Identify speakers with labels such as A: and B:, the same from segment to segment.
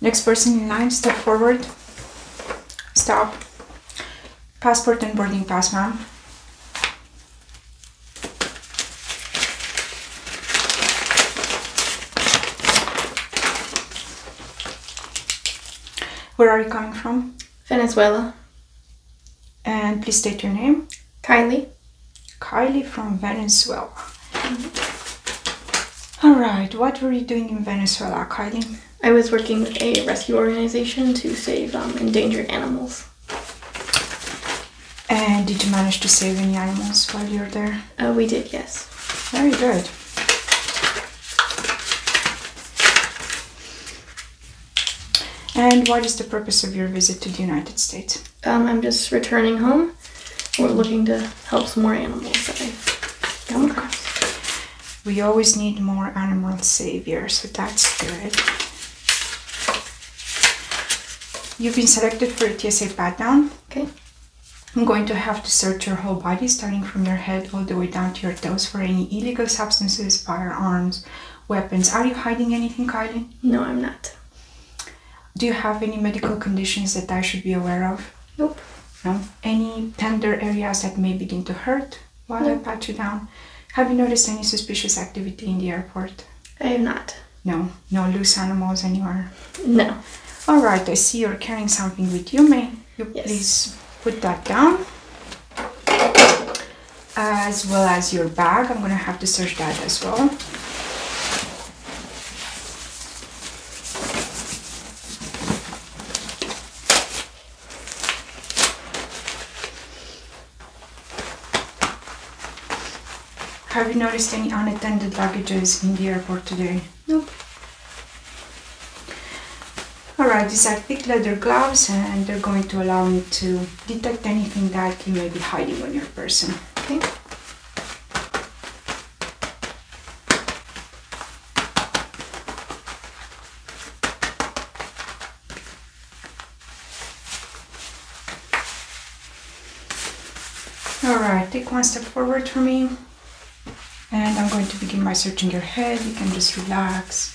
A: Next person in line, step forward. Stop. Passport and boarding pass, ma'am. Where are you coming from?
B: Venezuela. And
A: please state your name. Kylie. Kylie from Venezuela.
B: All right, what were you doing in Venezuela, Kylie? I was working with a rescue organization to save um, endangered animals.
A: And did you manage to save any animals while you were there? Uh, we did, yes. Very good. And what is the purpose of your visit to the United States? Um, I'm just returning home. We're looking to help some more animals We always need more animal savior, so that's good. You've been selected for a TSA pat down. Okay. I'm going to have to search your whole body, starting from your head all the way down to your toes, for any illegal substances, firearms, weapons. Are you hiding anything, Carly?
B: No, I'm not.
A: Do you have any medical conditions that I should be aware of? Nope. No? Any tender areas that may begin to hurt while I pat you down? Have you noticed any suspicious activity in the airport? I have not. No, no loose animals anywhere? No. All right, I see you're carrying something with you. May you please put that down? as well as your bag. I'm gonna have to search that as well. Have you noticed any unattended luggages in the airport today? Nope. Alright, these are thick leather gloves and they're going to allow me to detect anything that you may be hiding on your person. All right, take one step forward for me. And I'm going to begin by searching your head. You can just relax.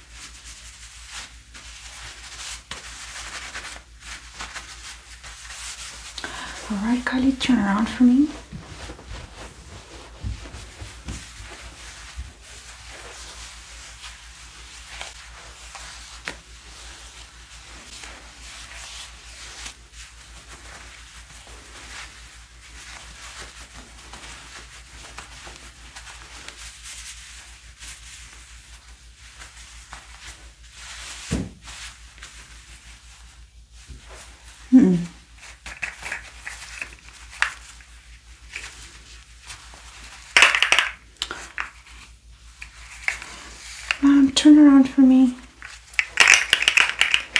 A: All right, Kylie, turn around for me.
C: Hmm.
B: Mom, turn around for me.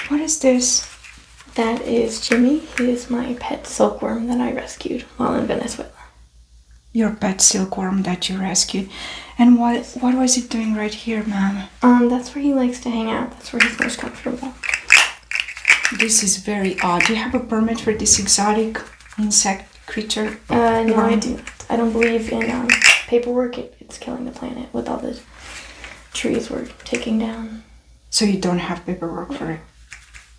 B: What is this? That is Jimmy. He is my pet silkworm that I rescued while in Venezuela.
A: Your pet silkworm that you rescued. And
B: what what was it doing right here, ma'am? Um, that's where he likes to hang out. That's where he's most comfortable.
A: This is very odd. Do you have a permit for this exotic insect
B: creature? Uh, no, I do not. I don't believe in um, paperwork. it's killing the planet with all the trees we're taking down.
A: So you don't have paperwork for it,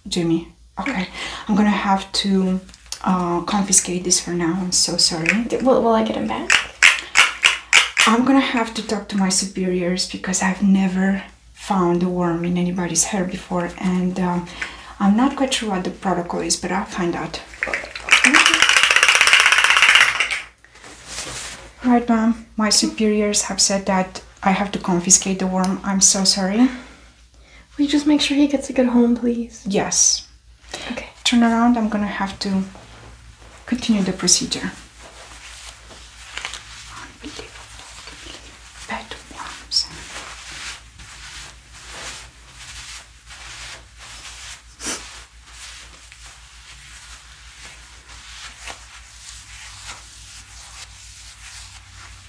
A: Jimmy. Okay, I'm gonna have to uh, confiscate this for now. I'm so sorry. Will, will I get them back? I'm gonna have to talk to my superiors because I've never found a worm in anybody's hair before, and um, I'm not quite sure what the protocol is, but I'll find out. Right, Mom. My superiors have said that I have to confiscate the worm. I'm so sorry. Will
B: you just make sure he gets a good home, please?
A: Yes. Okay. Turn around. I'm gonna have to continue the procedure.
C: Bad worms.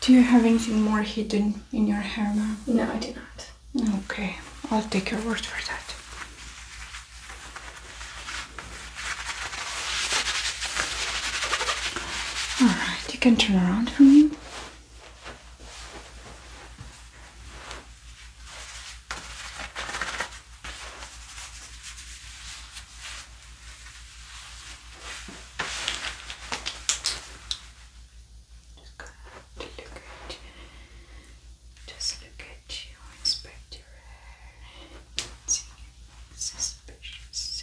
A: Do you have anything more hidden in your hair, now? No, I do not. Okay, I'll take your word for that. Alright, you can turn around for me.
C: Just gonna look at just look at you, inspect your hair, see anything suspicious.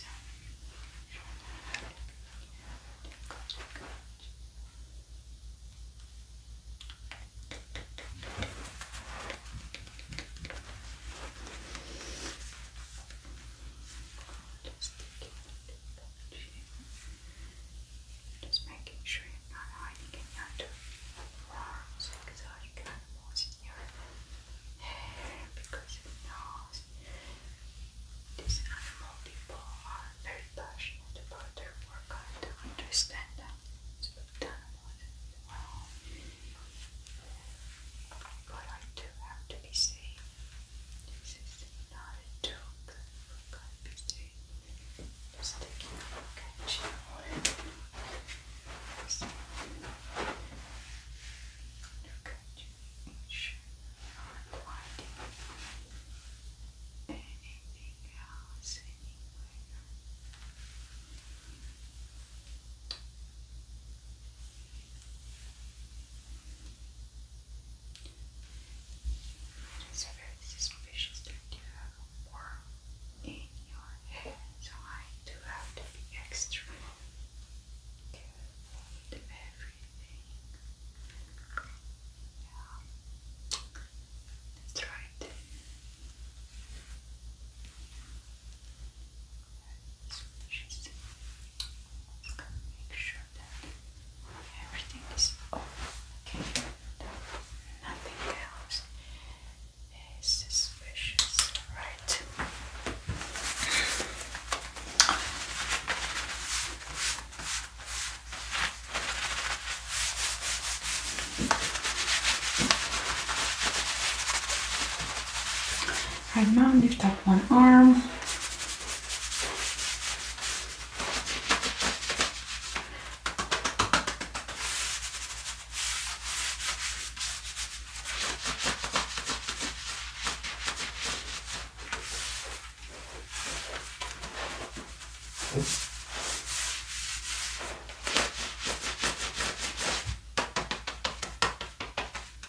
C: Just making sure you're not hiding any under arms because you can animals in your hair because it these animal people are very passionate about their work. I have to understand that. It's about animals well. But I do have to be safe. This is not a joke. For God's sake, just taking a look at you. Just look at you. sure I'm not anything else anywhere. It is very suspicious that you have a worm in your head, so I do have to be extra careful with everything. Yeah, that's right. Just make sure that everything is off, okay?
A: Nothing else is suspicious, right? i Right now, lift up one arm.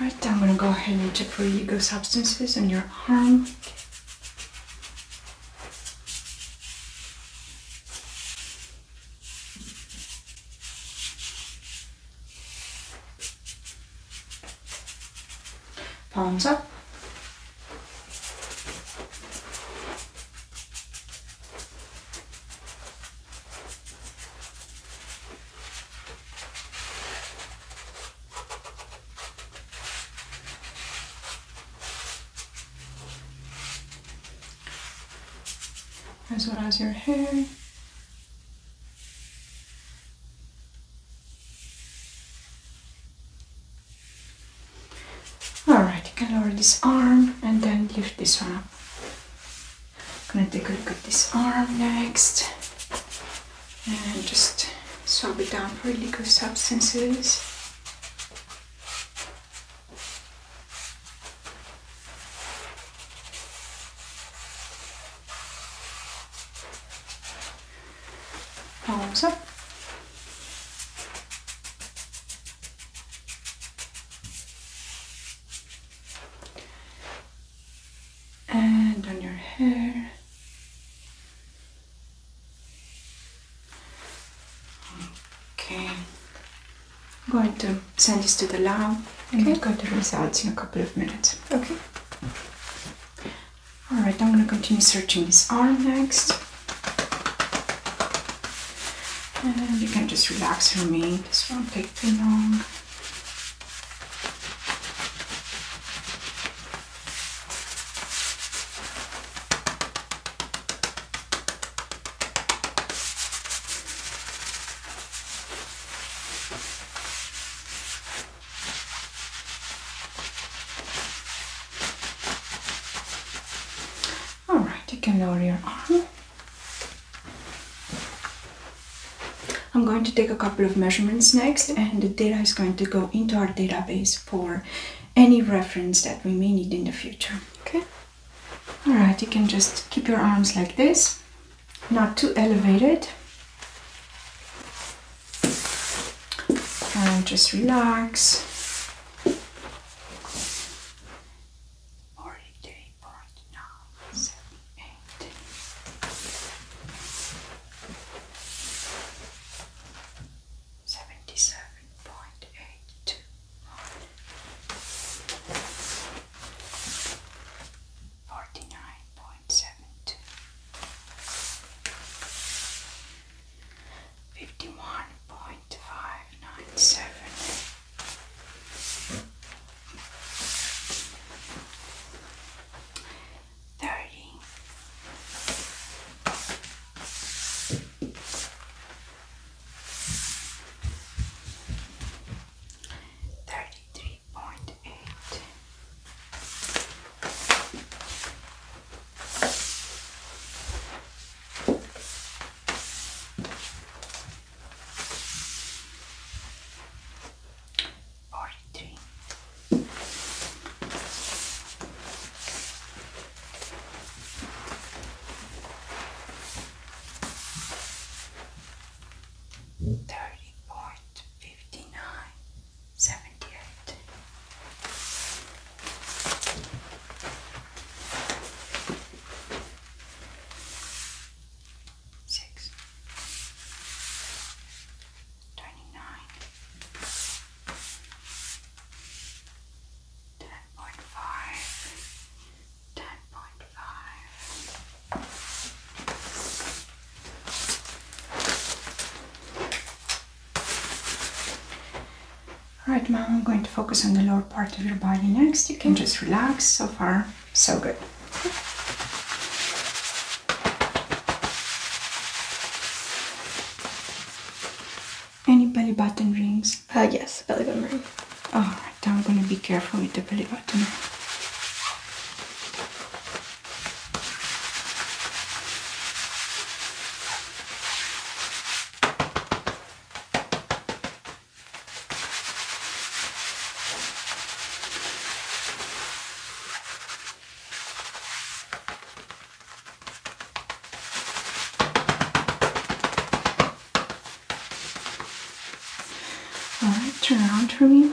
A: Right, I'm gonna go ahead and check for ego substances on your arm. Palms up as well as your hair. Alright, you can lower this arm and then lift this one up. gonna take a look at this arm next and just swab it down for illegal substances. Palms up and on your hair. Okay, I'm going to send this to the lab and okay. go to the results in a couple of minutes. Okay. Alright, I'm going to continue searching this arm next. And you can just relax for me. This won't take too long. All right, you can lower your arm. I'm going to take a couple of measurements next and the data is going to go into our database for any reference that we may need in the future. Okay. Alright, you can just keep your arms like this, not too elevated. And just relax. Seventy-seven point eight two one, forty-nine point seven two, fifty-one point five nine seven thirty. Thirty-three point eight or dream. Thirty point fifty nine seventy eight. Six twenty-nine, ten point five, ten point five. Alright, mom, I'm going to focus on the lower part of your body next. You can just relax. So far, so good. Any belly button rings? Uh, yes, belly button ring. Alright, I'm gonna be careful with the belly button. All right, turn around for me.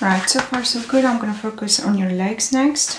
A: Right, so far so good. I'm gonna focus on your legs next.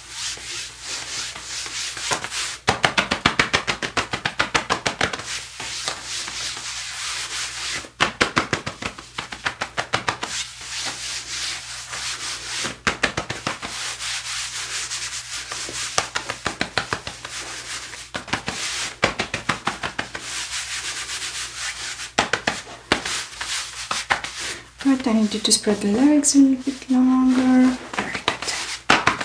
A: But I need you to spread the legs a little bit longer. Perfect.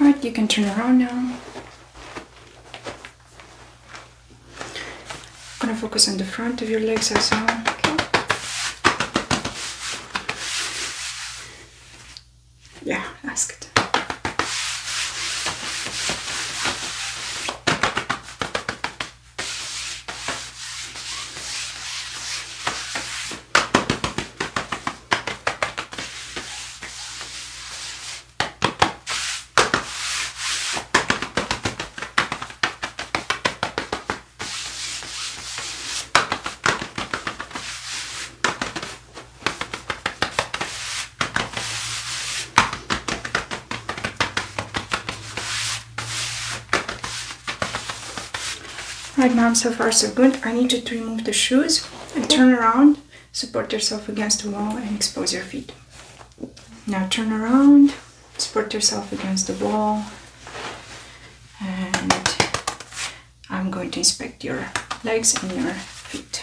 A: All right, you can turn around now. I'm gonna focus on the front of your legs as well. Yeah, that's good. Right, mom, so far so good. I need you to remove the shoes and turn around, support yourself against the wall and expose your feet. Now turn around, support yourself against the wall and I'm going to inspect your legs and your feet.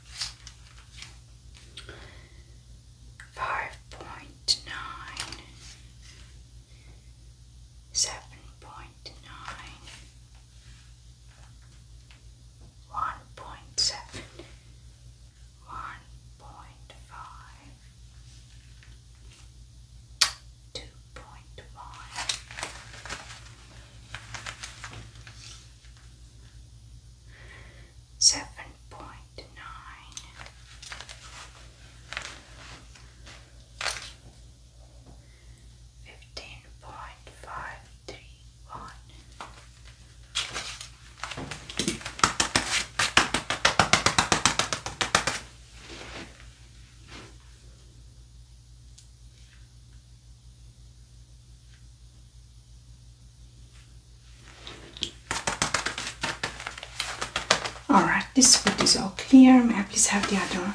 C: Five point nine, seven point nine, one point seven, one point five, two point one seven point nine, fifteen point five three one,
A: all right, this food is all clear. May I please have the other one?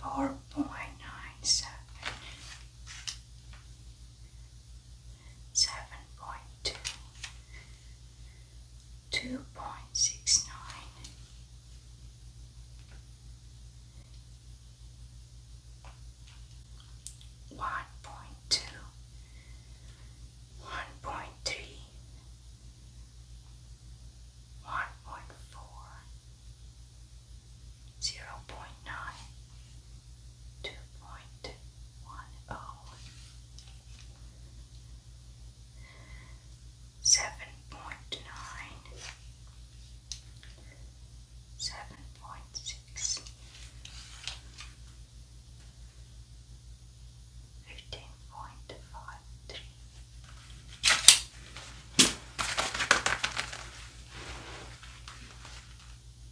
C: Four point nine seven seven point two, two point six nine, one point two, one point three, one point four, zero point nine, two point one oh seven point nine, seven point six, fifteen point five three.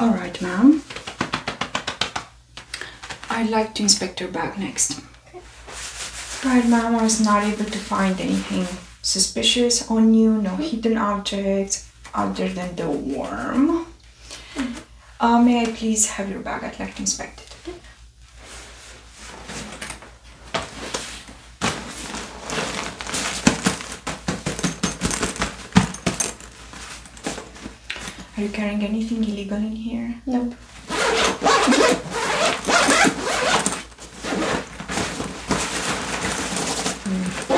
A: All right, ma'am. I'd like to inspect your bag next. Right, ma'am, I was not able to find anything suspicious on you, no hidden objects other than the worm. Mm-hmm. Uh, may I please have your bag? I'd like to inspect it. Are you carrying anything illegal in here? Nope.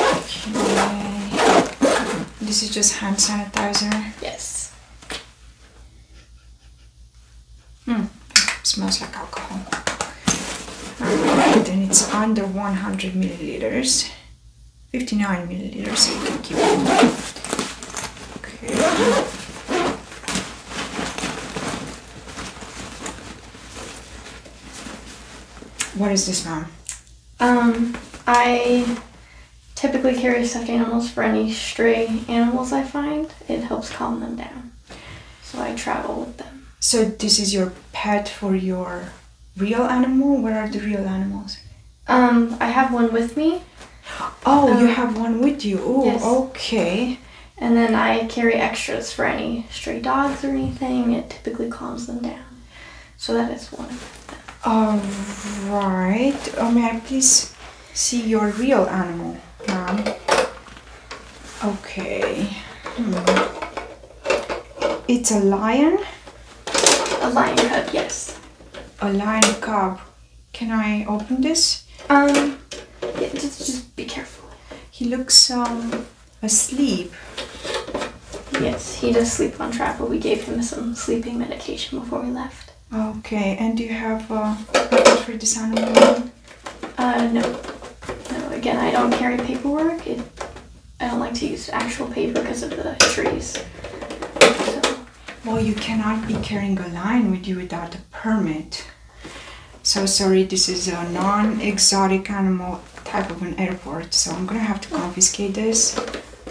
A: Okay. This is just hand sanitizer? Yes. Hmm. smells like alcohol. and it's under 100 milliliters. 59 milliliters, so you Okay. What is this now?
B: Um, I typically carry stuffed animals for any stray animals I find. It helps calm them down. So I travel with them. So this
A: is your pet for your real animal? Where are the real animals?
B: Um, I have one with me. Oh, you um, have one with you. Oh, okay. And then I carry extras for any stray dogs or anything. It typically calms them down. So that is one. All right.
A: Oh, may I please see your real animal, mom. Okay. Hmm. It's a lion?
B: A lion cub, yes.
A: A lion cub. Can I open this? Um, just, just be careful. He looks um asleep. Yes, he does sleep on travel. We gave him some sleeping
B: medication before we left. Okay, and do you have uh, for design online? Uh, no. No, again, I don't carry paperwork. I don't like to use actual paper because of the trees. Well, you cannot be carrying a lion
A: with you without a permit. So sorry, this is a non-exotic animal type of an airport, so I'm gonna have to confiscate this.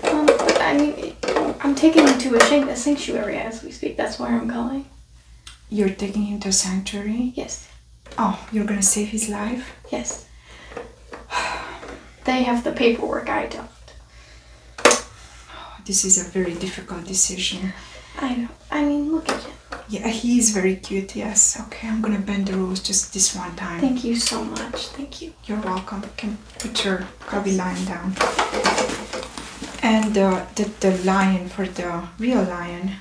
B: Um, I mean, I'm taking him to a sanctuary as we speak. That's where I'm going.
A: You're taking him to a sanctuary? Yes. Oh,
B: you're gonna save his life? Yes. they have the paperwork, I don't.
A: Oh, this is a very difficult decision.
B: I know. I mean, look at him.
A: Yeah, he's very cute, yes. Okay, I'm gonna bend the rules just this one time. Thank
B: you so much. Thank you.
A: You're welcome. Put your probably lying down. And uh, the, the lion, for the real lion,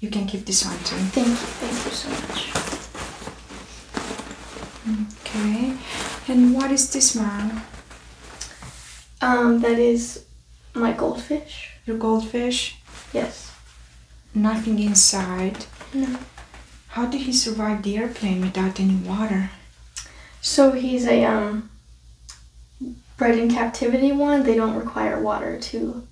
A: you can keep this one too. Thank you, thank you so much. Okay, and what is this man? Um, that is my goldfish. Your goldfish? Yes. Nothing inside? No. How did he survive the airplane without any water?
B: So he's a um bred in captivity one, they don't require water to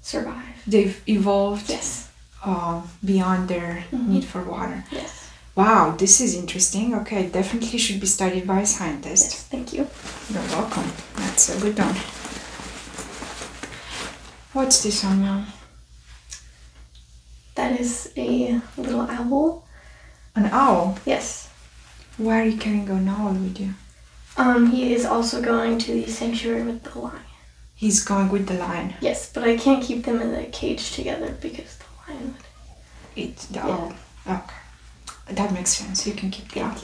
B: survive.
A: They've evolved yes. Uh, beyond their mm-hmm. need for water. Yes. Wow, this is interesting. Okay, definitely should be studied by scientists. Yes, thank you. You're welcome. That's a good one.
B: What's this one That is a little owl.
A: An owl? Yes. Where you can go now with you?
B: Um, he is also going to the sanctuary with the lion.
A: He's going with the lion.
B: Yes, but I can't keep them in the cage together because the lion would
A: eat the. Oh, okay, that makes sense. You can keep the Thank, you,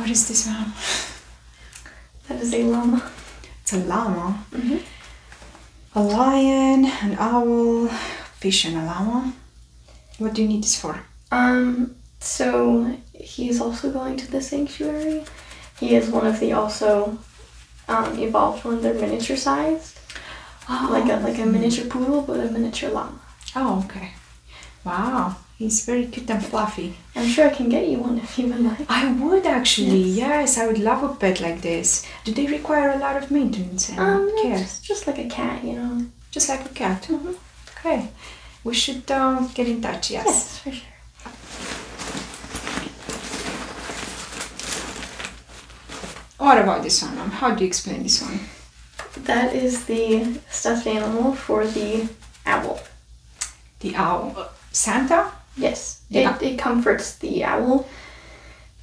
A: What is this one? That is a llama. It's a llama. Mm -hmm a lion, an owl, fish, and a llama. What do you need this for?
B: Um, so is also going to the sanctuary. He is one of the also um, evolved ones. They're miniature sized, oh. like a like a miniature poodle, but a miniature llama.
A: Oh, okay. Wow, he's very cute and fluffy.
B: I'm sure I can get you
A: one if you would like. I would actually. yes I would love a pet like this. Do they require a lot of maintenance and um, Just like a cat, you know. Just like a cat. Mm-hmm. Okay. We should um, get in touch. Yes. Yes, for sure. What about this one? How do you explain this one?
B: That is the stuffed animal for the owl. The owl. Santa? Yes. It, it comforts the owl.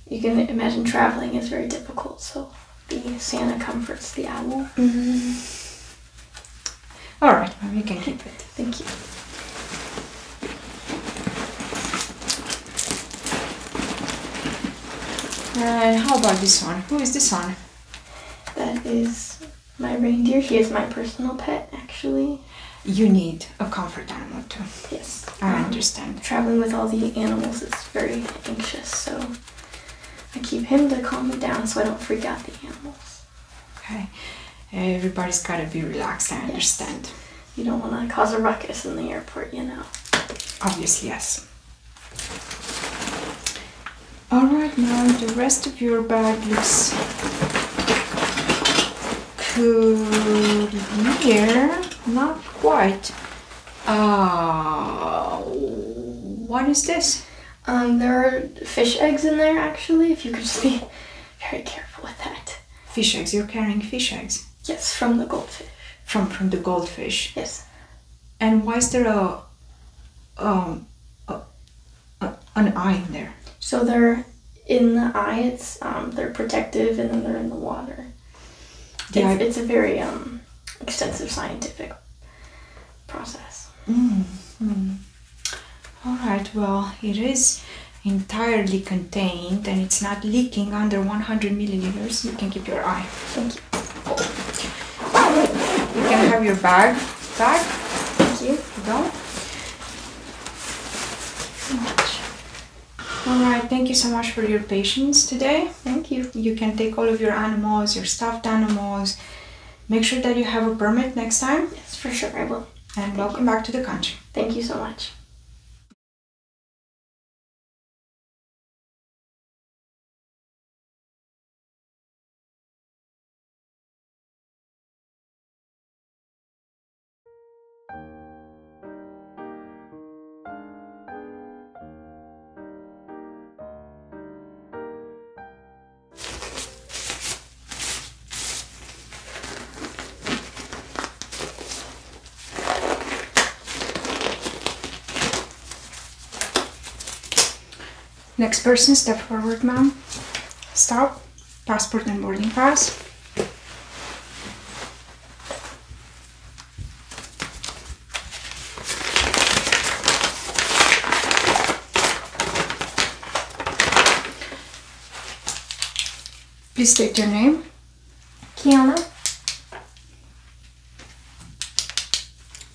B: You can imagine traveling is very difficult, so the Santa comforts the owl. Mm-hmm. All right, Mom, can keep it. Thank you.
A: And how about this one? Who is this one? That is
B: my reindeer. He is my personal pet, actually.
A: You need a comfort
B: animal too. Yes. I um, understand. Traveling with all the animals is very anxious, so I keep him to calm me down so I don't freak out the animals.
A: Okay. Everybody's gotta be relaxed, I understand.
B: You don't wanna cause a ruckus in the airport, you know.
A: Obviously, yes. Alright, now the rest of your bag looks clear, not quite. Uh, what
B: is this? Um, there are fish eggs in there actually, if you could be very careful with that. Fish eggs, you're carrying fish
A: eggs? Yes, from the goldfish. From from the goldfish? Yes. And why is there a, um, an eye in there?
B: So there in the eye. It's um, they're protective, and then they're in the water. Yeah, it's, a very um, extensive scientific process.
A: Mm-hmm. All right. Well, it is entirely contained, and it's not leaking under 100 milliliters. You can keep your eye. Thank you. You can have your bag back. Thank you. Go. All right, thank you so much for your patience today. Thank you. You can take all of your animals, your stuffed animals. Make sure that you have a permit next time. Yes, for sure, I will. And welcome back to the country.
C: Thank you so much.
A: Next person, step forward, ma'am. Stop passport and boarding pass.
B: Please state your name. Kiana.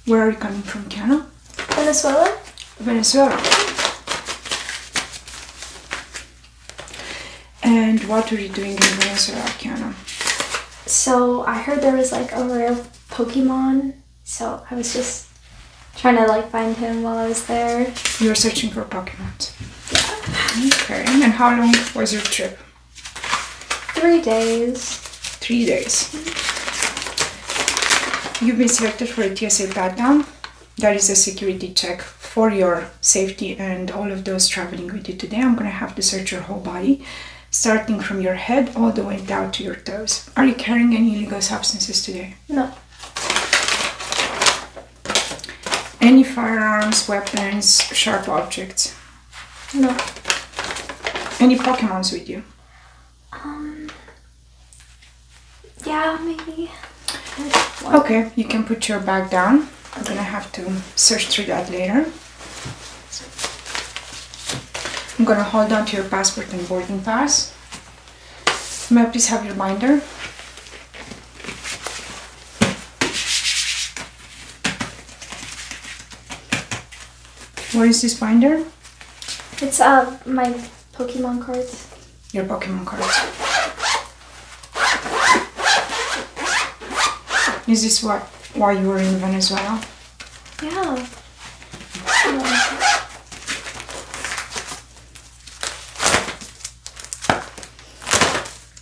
A: Where are you coming from, Kiana? Venezuela. Venezuela. And what were you doing in Venezuela, Kiana?
B: So I heard there was like a rare Pokemon, so I was just trying to like find him while I was there.
A: You were searching for Pokemon.
B: Yeah. Okay. And how
A: long was your trip? Three days. Three days. You've been selected for a TSA pat there is a security check for your safety and all of those traveling with you today. I'm gonna have to search your whole body, starting from your head all the way down to your toes. Are you carrying any illegal substances today? No. Any firearms, weapons, sharp objects? No. Any Pokemons with you?
C: Um. Yeah, maybe.
A: Okay, you can put your bag down. I'm gonna have to search through that later. I'm gonna hold on to your passport and boarding pass. May I please have your binder? Where is this binder?
B: It's uh my Pokemon cards.
A: Your Pokemon cards. Is this why, why you were in Venezuela? Yeah.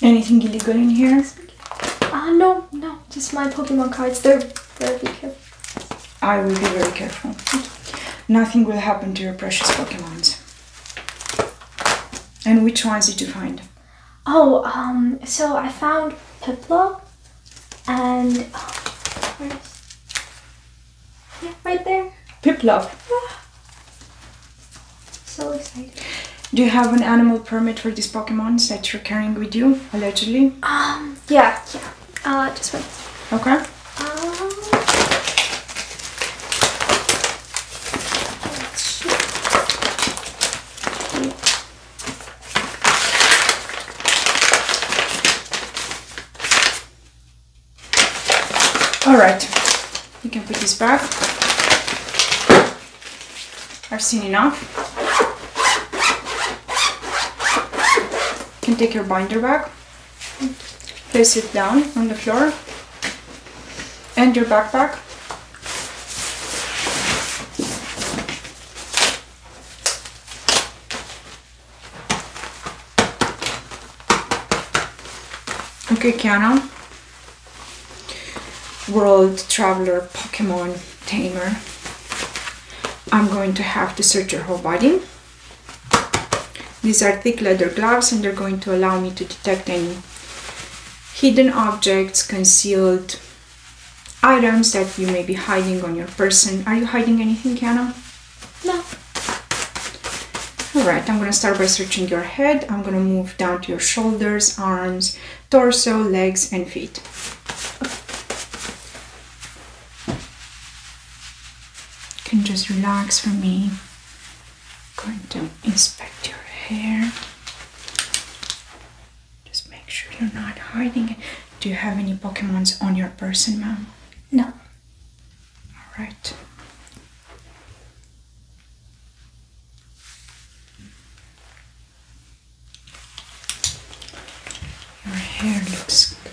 A: Anything illegal in here?
B: Ah, uh, no, no. Just my Pokemon cards. They're very
A: careful. I will be very careful. Nothing will happen to your precious Pokemons. And which ones did you find?
B: Oh, um, so I found Piplup and right there. Piplup. Ah. So excited.
A: Do you have an animal permit for these Pokémon that you're carrying with you, allegedly? Um,
B: yeah, yeah.
A: Uh, just one. Okay. Uh, all right, you can put this back. I've seen enough. can take your binder back, place it down on the floor, and your backpack. Okay, Kiana. World Traveler Pokemon Tamer. I'm going to have to search your whole body. These are thick leather gloves and they're going to allow me to detect any hidden objects, concealed items that you may be hiding on your person. Are you hiding anything, Kiana? No. Alright, I'm gonna start by searching your head. I'm gonna move down to your shoulders, arms, torso, legs, and feet. You can just relax for me going to inspect your hair. Just make sure you're not hiding it. Do you have any Pokemons on your person, ma'am? No. Alright.
C: Your hair looks good.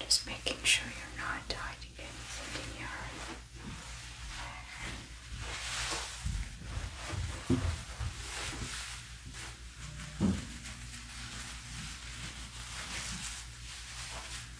A: Just making sure you're not hiding anything in your hair. Hmm.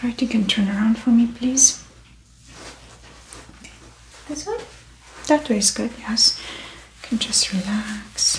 A: All right, you can turn around for me, please. This way? That way is good, yes. You can just relax.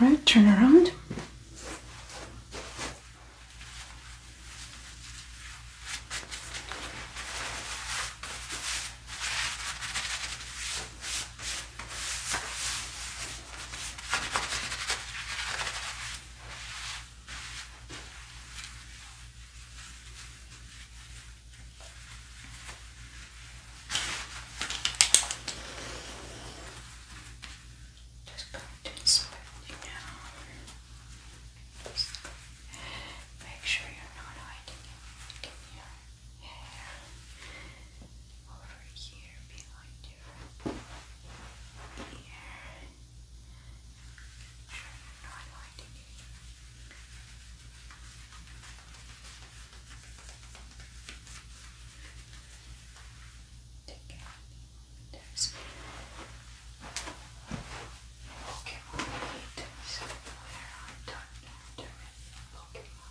A: Right, turn around. Just going to swiftly now. make sure you're not hiding anything here hair over here behind your ear. You're not lighting it. Take out there's Pokemon where I don't know there is Pokemon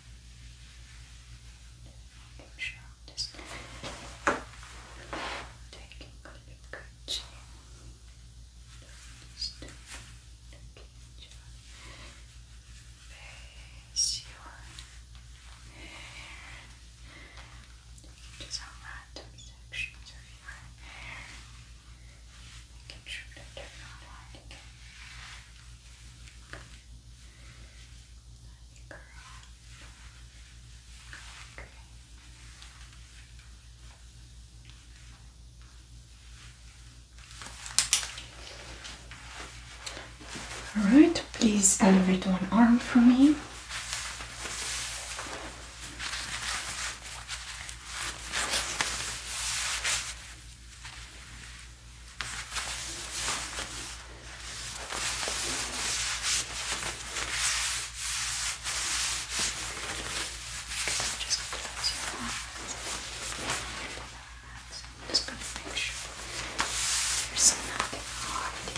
C: Push Taking a look at you. face, your hair. Just how random sections of your hair. Making sure that they not hiding.
A: All right, please elevate one arm for me. Just close your
C: eyes. I'm just going to make sure there's nothing hard in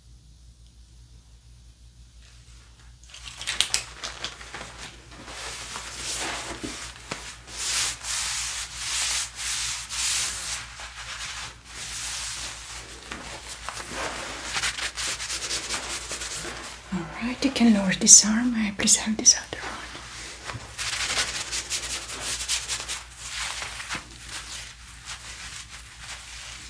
A: All right, you can lower this arm. I please have this other arm.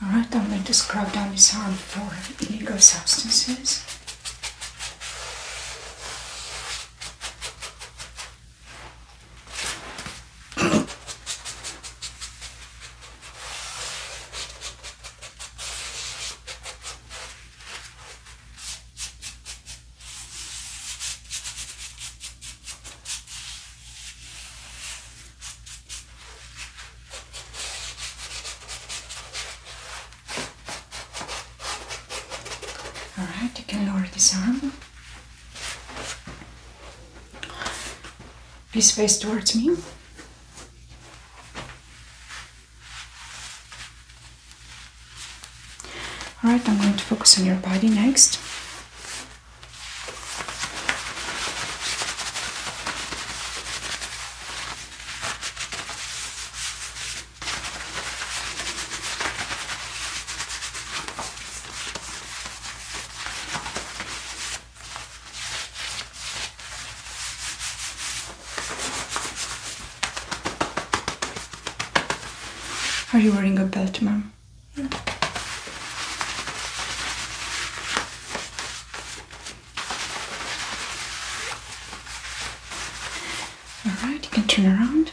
A: Alright, I'm going to scrub down his arm for illegal substances. All right, you can lower this arm. Please face towards me. Alright, I'm going to focus on your body next. Are you wearing a belt, ma'am? No. Alright, you can turn around.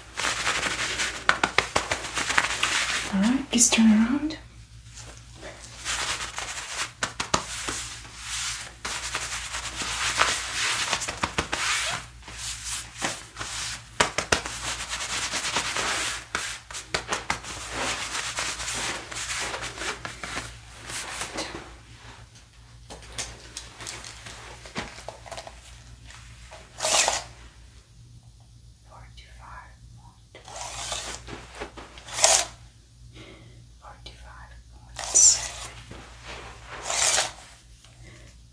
A: Alright, please turn around
C: forty-five point forty-five point seven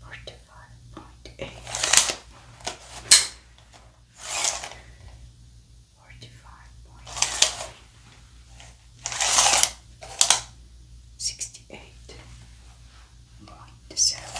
C: forty-five point eight forty-five point nine sixty-eight point seven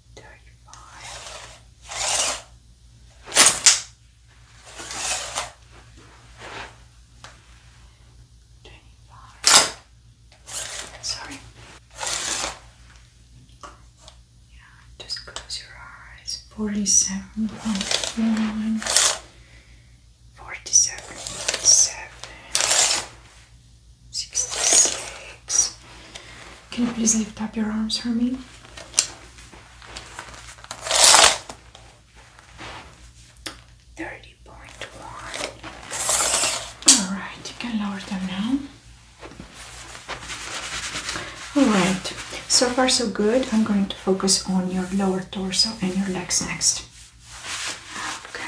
C: thirty-five. Twenty-five. Sorry. Yeah, just
A: close your eyes. Forty-seven point one. Forty-seven point seven. 66. Can you please lift up your arms for Thirty point one. Alright, you can lower them now. Alright, so far so good. I'm going to focus on your lower torso and your legs next. Okay.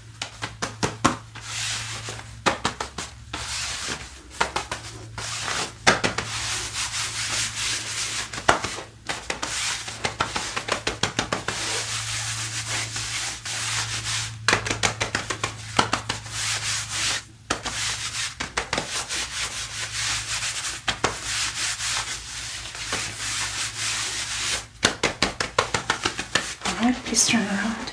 A: Alright, please turn around.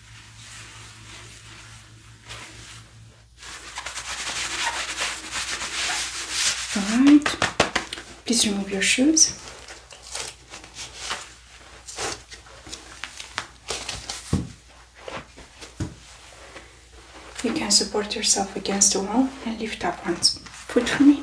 A: All right, please remove your shoes. You can support yourself against the wall and lift up one foot for me.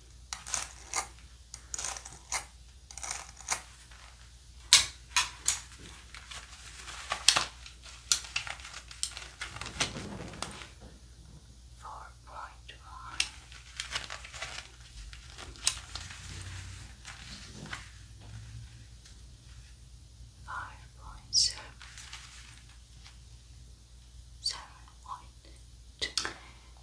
A: Four point one. Five point seven, seven point two,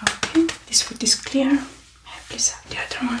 A: Okay, this one is clear. Please have the other one.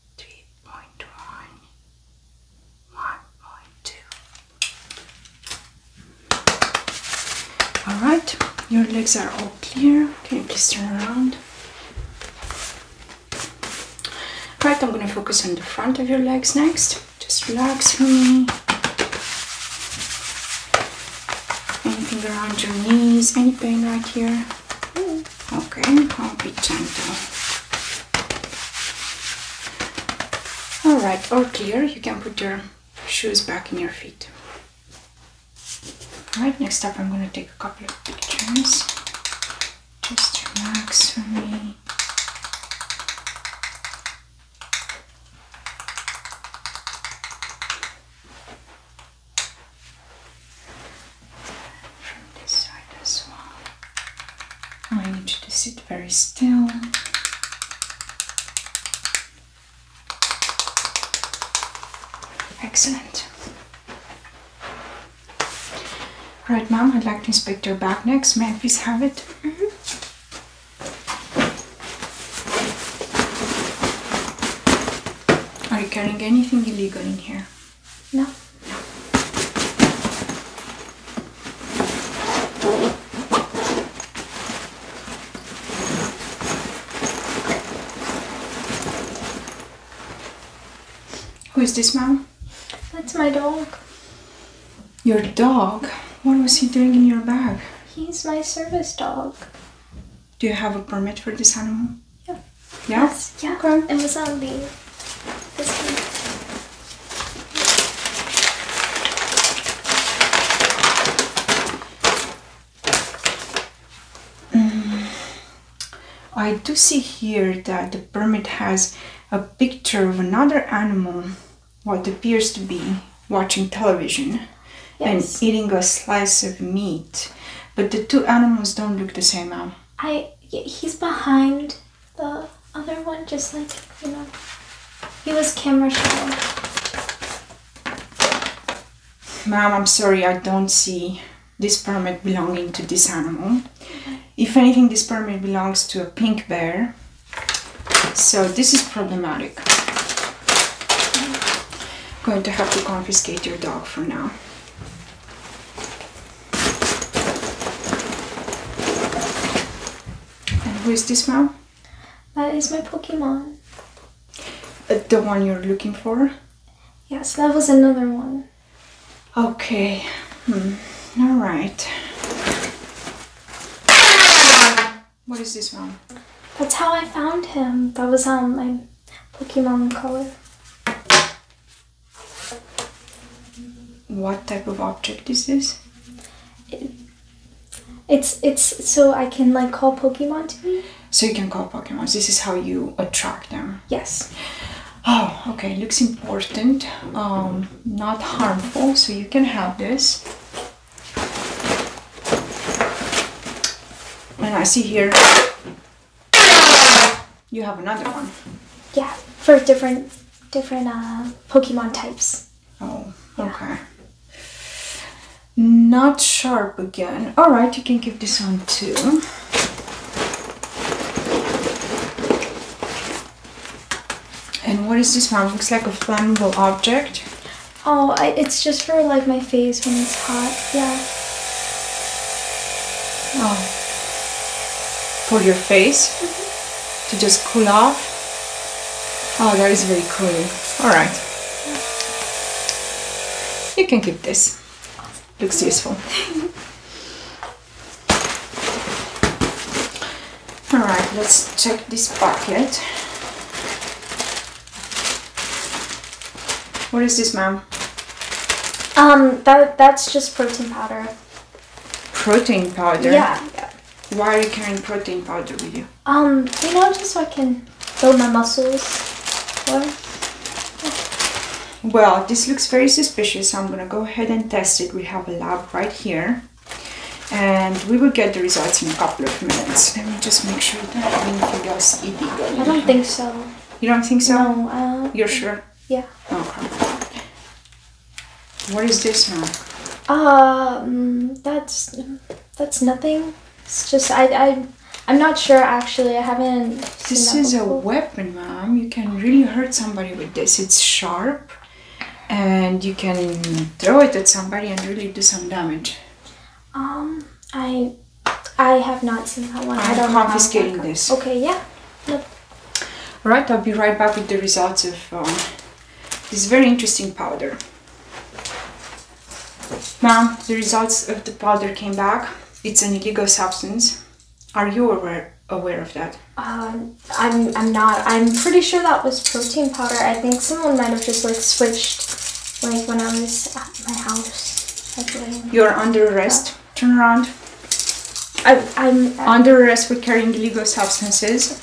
A: 3.1, All right, your legs are all clear. Can you please turn around? Right, I'm going to focus on the front of your legs next. Just relax for me. Anything around your knees, any pain right here? Okay, I'll be Alright, all clear. Oh you can put your shoes back in your feet. Alright, next up I'm going to take a couple of pictures. Just relax for me. From this side as well. I need you to sit very still. Excellent. Right, ma'am, I'd like to inspect your bag next. May I please have it? Mm-hmm. Are you carrying anything illegal in here? No. Who is this, mom? That's my dog. Your dog? What was he doing in your bag? He's my service dog. Do you have a permit for this animal? Yeah.
B: Yes, yeah. Okay. It was on the this one.
A: Um, I do see here that the permit has a picture of another animal, what appears to be watching television and eating a slice of meat. But the two animals don't look the same
B: I he's behind the other one, just like you know, he was camera shy.
A: Ma'am, I'm sorry, I don't see this permit belonging to this animal. If anything, this permit belongs to a pink bear. So this is problematic. I'm mm-hmm. going to have to confiscate your dog for now. And who is this now?
C: That is my Pokemon.
A: Uh, the one you're looking for?
C: Yes, that was another one.
A: Okay. Hmm. All right. What is this one?
B: That's how I found him. That was on um, my Pokemon color.
A: What type of object is this? It,
B: it's it's so I can like call Pokemon
A: So you can call Pokemon. This is how you attract them. Yes. Oh, okay. Looks important. Um, not harmful. So you can have this. And I see here you have another one.
B: Yeah, for different different uh, Pokemon
A: types. Oh, okay. Not sharp again. All right, you can keep this one too. And what is this one? Looks like a flammable object.
B: Oh, it's just for like my face when it's hot. Yeah.
A: Oh, for your face to just cool off. Oh, that is very cool. All right. You can keep this. Looks useful. All right, let's check this bucket. What is this, ma'am?
B: Um, that that's just protein powder.
A: Protein powder. Yeah, Why are you carrying protein powder with you?
B: Um, you
C: know, just so I can
A: build my muscles. Or, Well, this looks very suspicious. I'm gonna go ahead and test it. We have a lab right here, and we will get the results in a couple of minutes. Let me just make sure you don't that anything else it. I don't think so. You
B: don't think so? No. Uh, You're sure? Yeah.
A: What is this now?
B: Um, that's that's nothing. It's just I I I'm not sure actually. I haven't. This is a
A: weapon, mom. You can really hurt somebody with this. It's sharp, and you can throw it at somebody and really do some damage.
B: Um, I I have not seen that one. I'm do not confiscating this. Okay, yeah. Yep.
A: Alright, I'll be right back with the results of um, this very interesting powder. Mom, the results of the powder came back. It's an illegal substance. Are you aware aware of that? Um,
B: I'm I'm not. I'm pretty sure that was protein powder. I think someone might have just like switched, like when I was at my house. Like, You're
A: under arrest. Turn around. I'm under arrest for carrying illegal substances.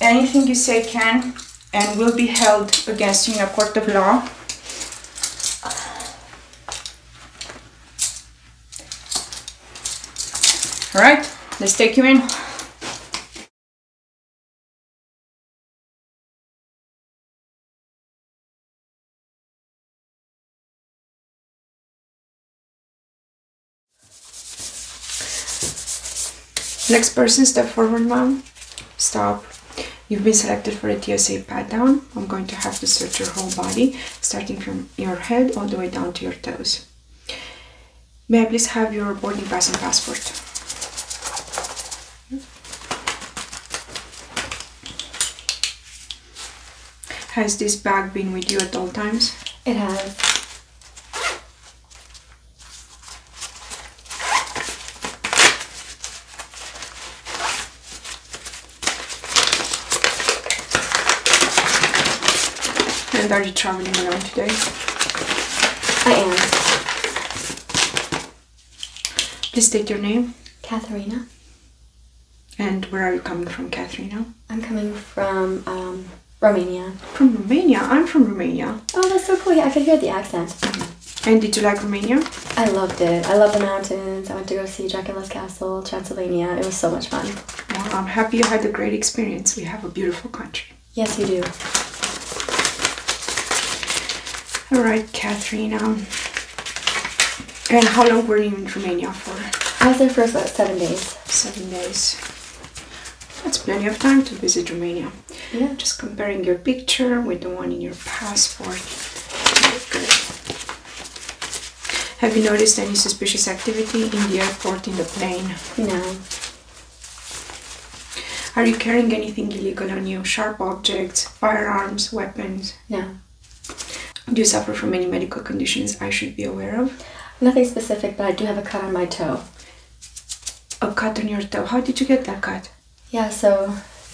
A: Anything you say can and will be held against you in a court of law. All right, let's take you in. Next person, step forward, mom. Stop. You've been selected for a TSA pat down. I'm going to have to search your whole body, starting from your head all the way down to your toes. May I please have your boarding pass and passport? Has this bag been with you at all times? It has. And are you traveling alone today? I am. Please state your name. Katharina. And where are you coming from, Katrina?
B: I'm coming from um, Romania. From Romania? I'm from Romania. Oh, that's so cool. Yeah, I could hear the accent. Mm-hmm. And did you like Romania? I loved it. I love the mountains. I went to go see Dracula's Castle, Transylvania. It was so much fun. I'm happy you had a great experience. We have a beautiful country. Yes, you do.
A: All right, Katrina. Um, and how long were you in Romania for? I was there for about seven days. Seven days. That's plenty of time to visit Romania. Yeah. Just comparing your picture with the one in your passport. Good. Have you noticed any suspicious activity in the airport, in the plane? No. Are you carrying anything illegal on you? Sharp objects, firearms, weapons? No. Do you suffer from any medical conditions I should be aware of?
B: Nothing specific, but I do have a cut on my toe. A cut on your toe? How did you get that cut? Yeah, so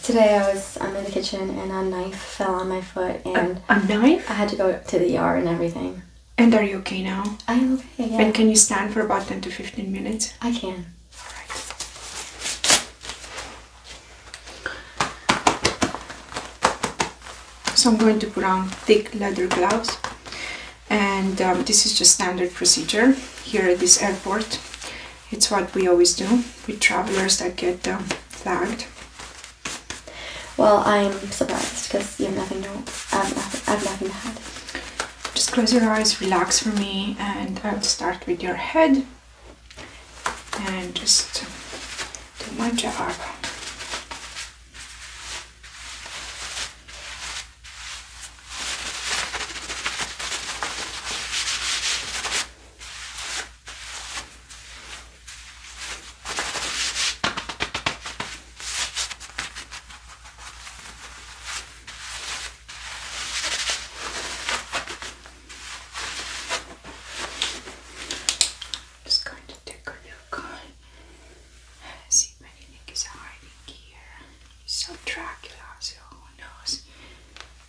B: today I was I'm in the kitchen and a knife fell on my foot and a, knife? I had to go to the ER and everything. And are you okay now? I am
A: okay, yeah. And can
B: you stand for about 10 to 15 minutes?
A: I can. All right. So I'm going to put on thick leather gloves and um, this is just standard procedure here at this airport. It's what we always do with travelers that get um, flagged. Well, I'm surprised because you have nothing to, I have nothing, I have nothing to Just close your eyes, relax for me and I'll uh, start with your head and just do my job.
C: I'm just going to take a look on. See if anything is hiding here. So Dracula, so who knows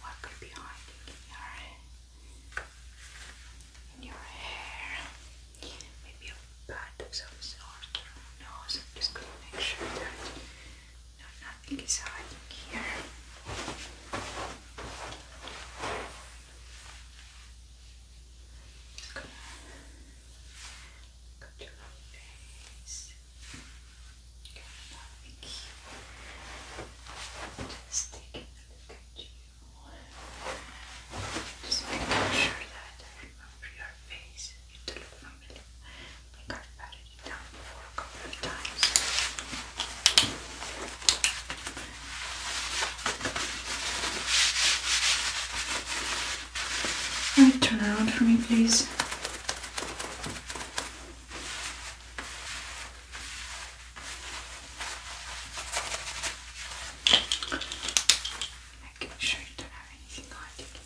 C: what could be hiding in in your hair. Maybe a bat of some who knows. I'm just going to make sure that nothing is hiding here. Go. Go to your face. Thank you. Just taking a look at you.
A: Just making sure that I remember your face. You look familiar. I I've patted it before a couple times turn around for me, please? Making sure you don't have anything hiding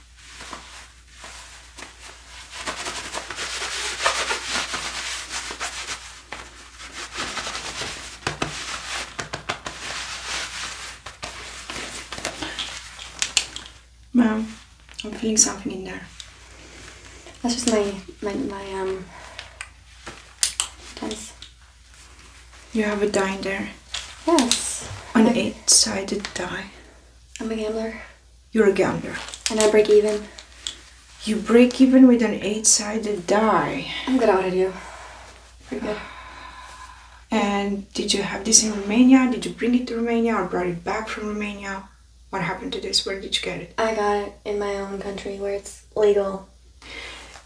A: Ma'am, I'm feeling something in there.
B: That's just my my um tense. You have a die there. Yes. An eight sided die. I'm a gambler.
A: You're a gambler.
B: And I break even.
A: You break even with an eight sided die. I'm good out at you. Pretty good. And did you have this in Romania? Did you bring it to Romania or brought it back from Romania? What happened to this? Where did you get it?
B: I got it in my own country where it's legal.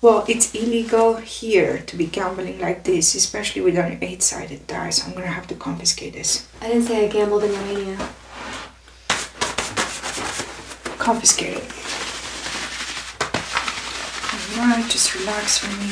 A: Well, it's illegal here to be gambling like this, especially with only eight-sided dice. I'm gonna have to confiscate this.
B: I didn't say I gambled in Romania. Confiscate it.
A: Alright, just relax for me.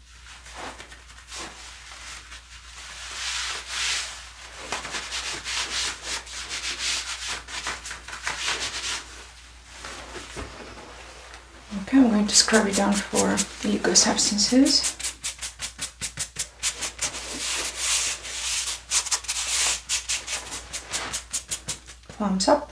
A: Okay, I'm going to scrub it down for illegal substances. Thumbs up.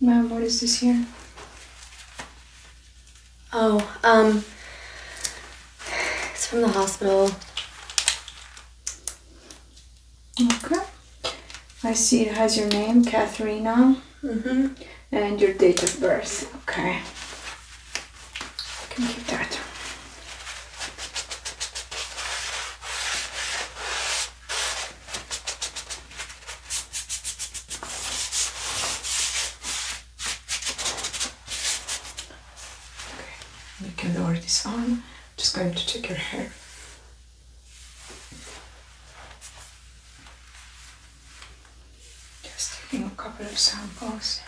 A: Mom, what is this here?
B: Oh, um, it's from the hospital.
A: Okay. I see it has your name, Katharina, mm -hmm. and your date of birth. Okay. You can keep that. Okay, you can lower this on. Just going to check your hair. Just taking a couple of samples.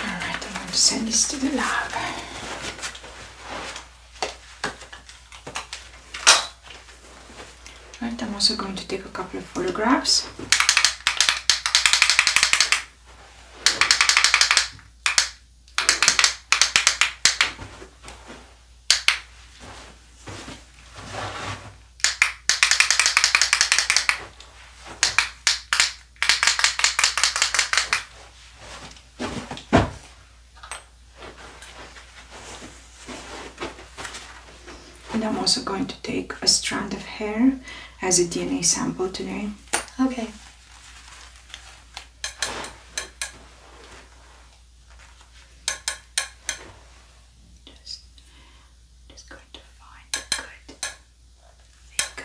C: Alright, I'm going to send
A: this to the lab. Right, I'm also going to take a couple of photographs. And I'm also going to take a strand of hair as a DNA sample today.
B: Okay. Just, just going to find a good thick,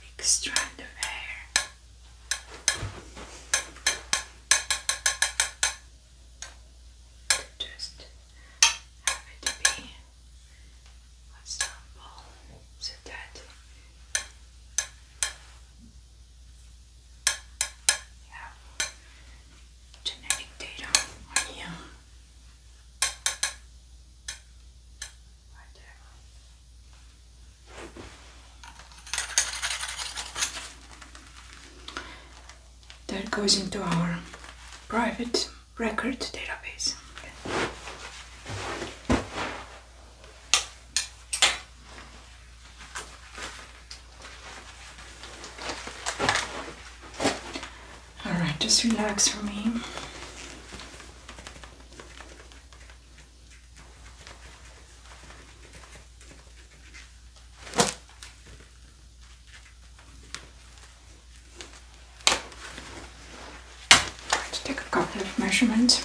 B: thick strand of hair. Just have it
A: be a sample so that genetic data on Right there. That goes into our private record database. All right, just relax for me. Right, take a couple of measurements.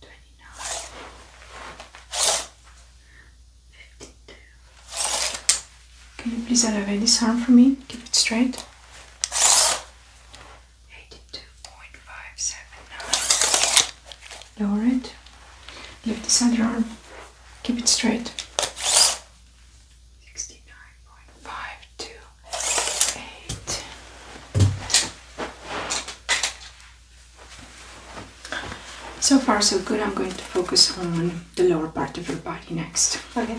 A: twenty-nine, fifty-two. Can you please elevate this arm for me? Keep it straight. Eighty-two point five seven nine. Lower Lift this other arm. Keep it straight. Sixty-nine point five two eight. So far so good. I'm going to focus on the lower part of your body next. Okay.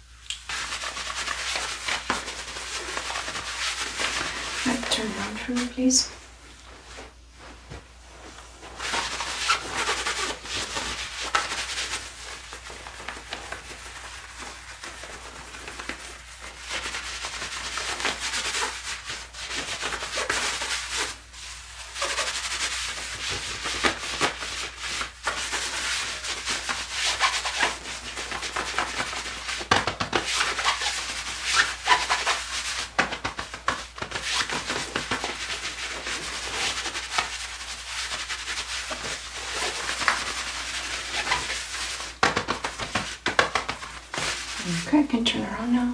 A: Right, turn around for me, please. Okay, I can turn around now.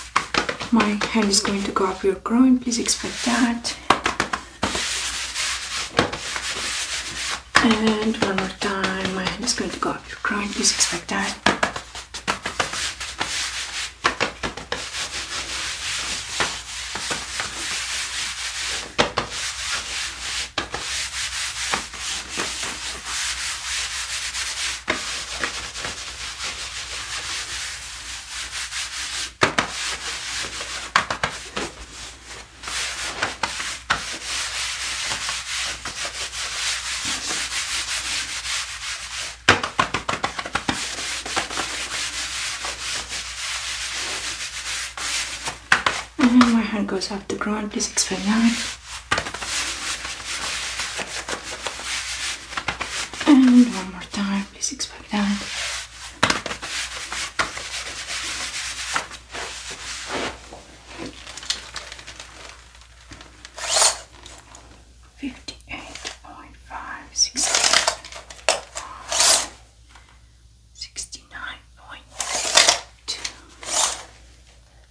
A: my hand is going to go up your groin please expect that and one more time my hand is going to go up your groin please expect that and my hand goes off the ground, please explain that. And one more time, please expect that.
C: Fifty-eight point five sixty-five sixty-nine point two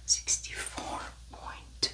A: sixty-four point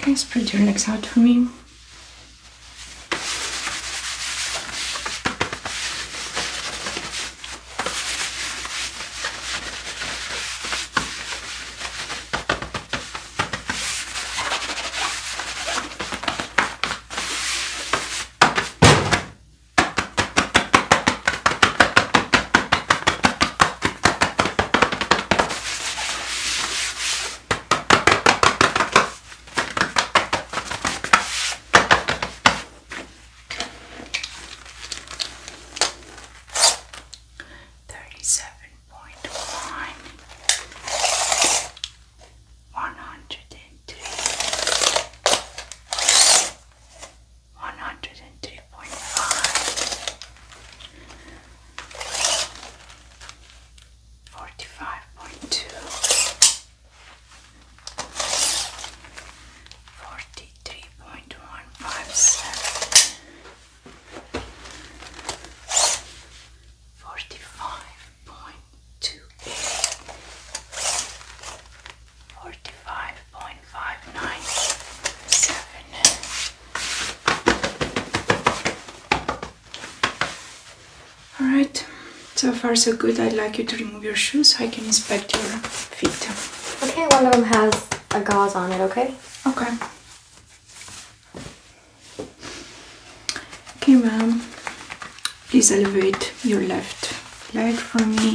A: Okay, spread your legs out for me. Thirty seven point one, one hundred and three, one hundred and three point five, forty five Forty-five point two eight, forty-five point five nine seven, all right, so far so good. I'd like you to remove your shoes so I can inspect your feet.
B: Okay, one of them has a gauze on it, okay?
A: Okay. Okay, ma'am, please elevate your left leg for me.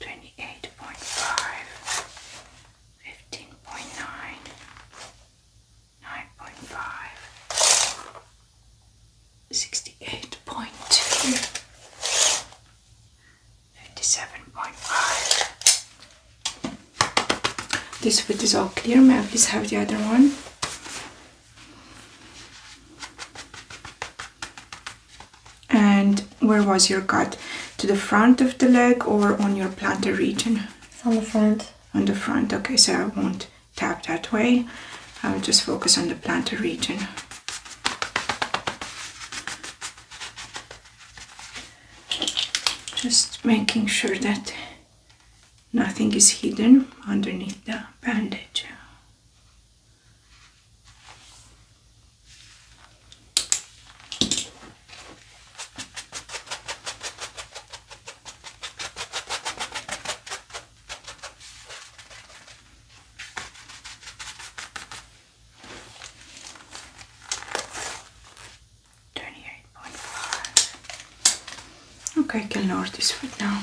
C: Twenty-eight point five, fifteen point nine, nine point five, sixty-eight point
A: two, 57.5. This foot is all clear. May I please have the other one? And where was your cut? To the front of the leg or on your plantar region? on the front. On the front, okay, so I won't tap that way. I'll just focus on the plantar region just making sure that nothing is hidden underneath the bandage. 28.5. Okay, I can ignore this right now.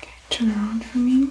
A: Okay, turn around for me.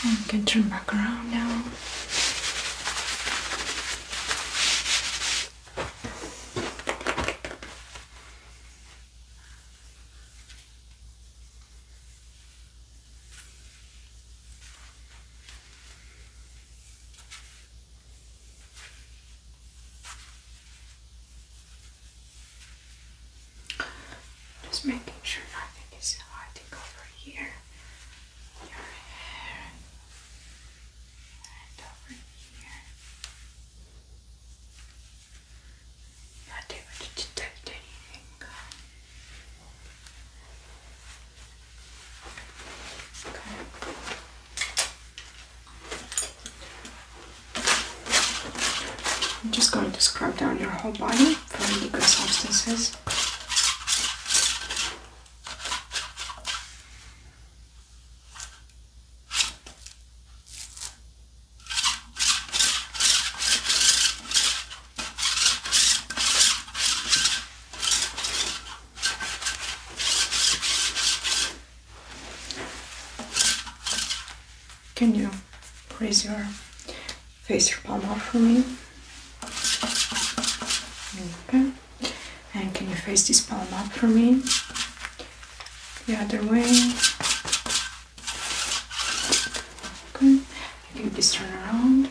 A: And you can turn back around now.
C: Just making sure nothing is hiding over here, your hair, and over here. Not able to detect anything.
A: Okay. I'm just going to scrub down your whole body. For from liquid substances. Can you raise your face your palm up for me. Okay. And can you face this palm up for me? The other way. Okay. You can turn around.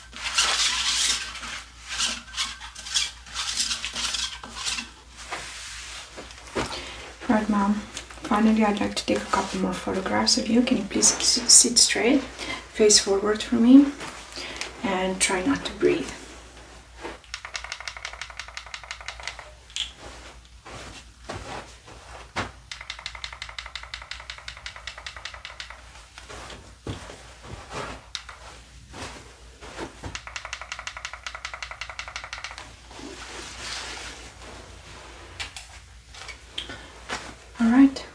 A: Right, ma'am. Finally, I'd like to take a couple more photographs of you. Can you please sit straight, face forward for me, and try not to breathe. Alright,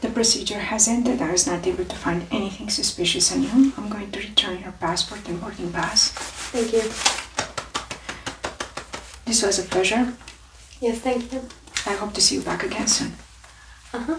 A: the procedure has ended. I was not able to find anything suspicious on you. I'm going to return your passport and boarding pass. Thank you. This was a pleasure.
B: Yes, thank you.
A: I hope to see you back again soon.
C: Uh huh.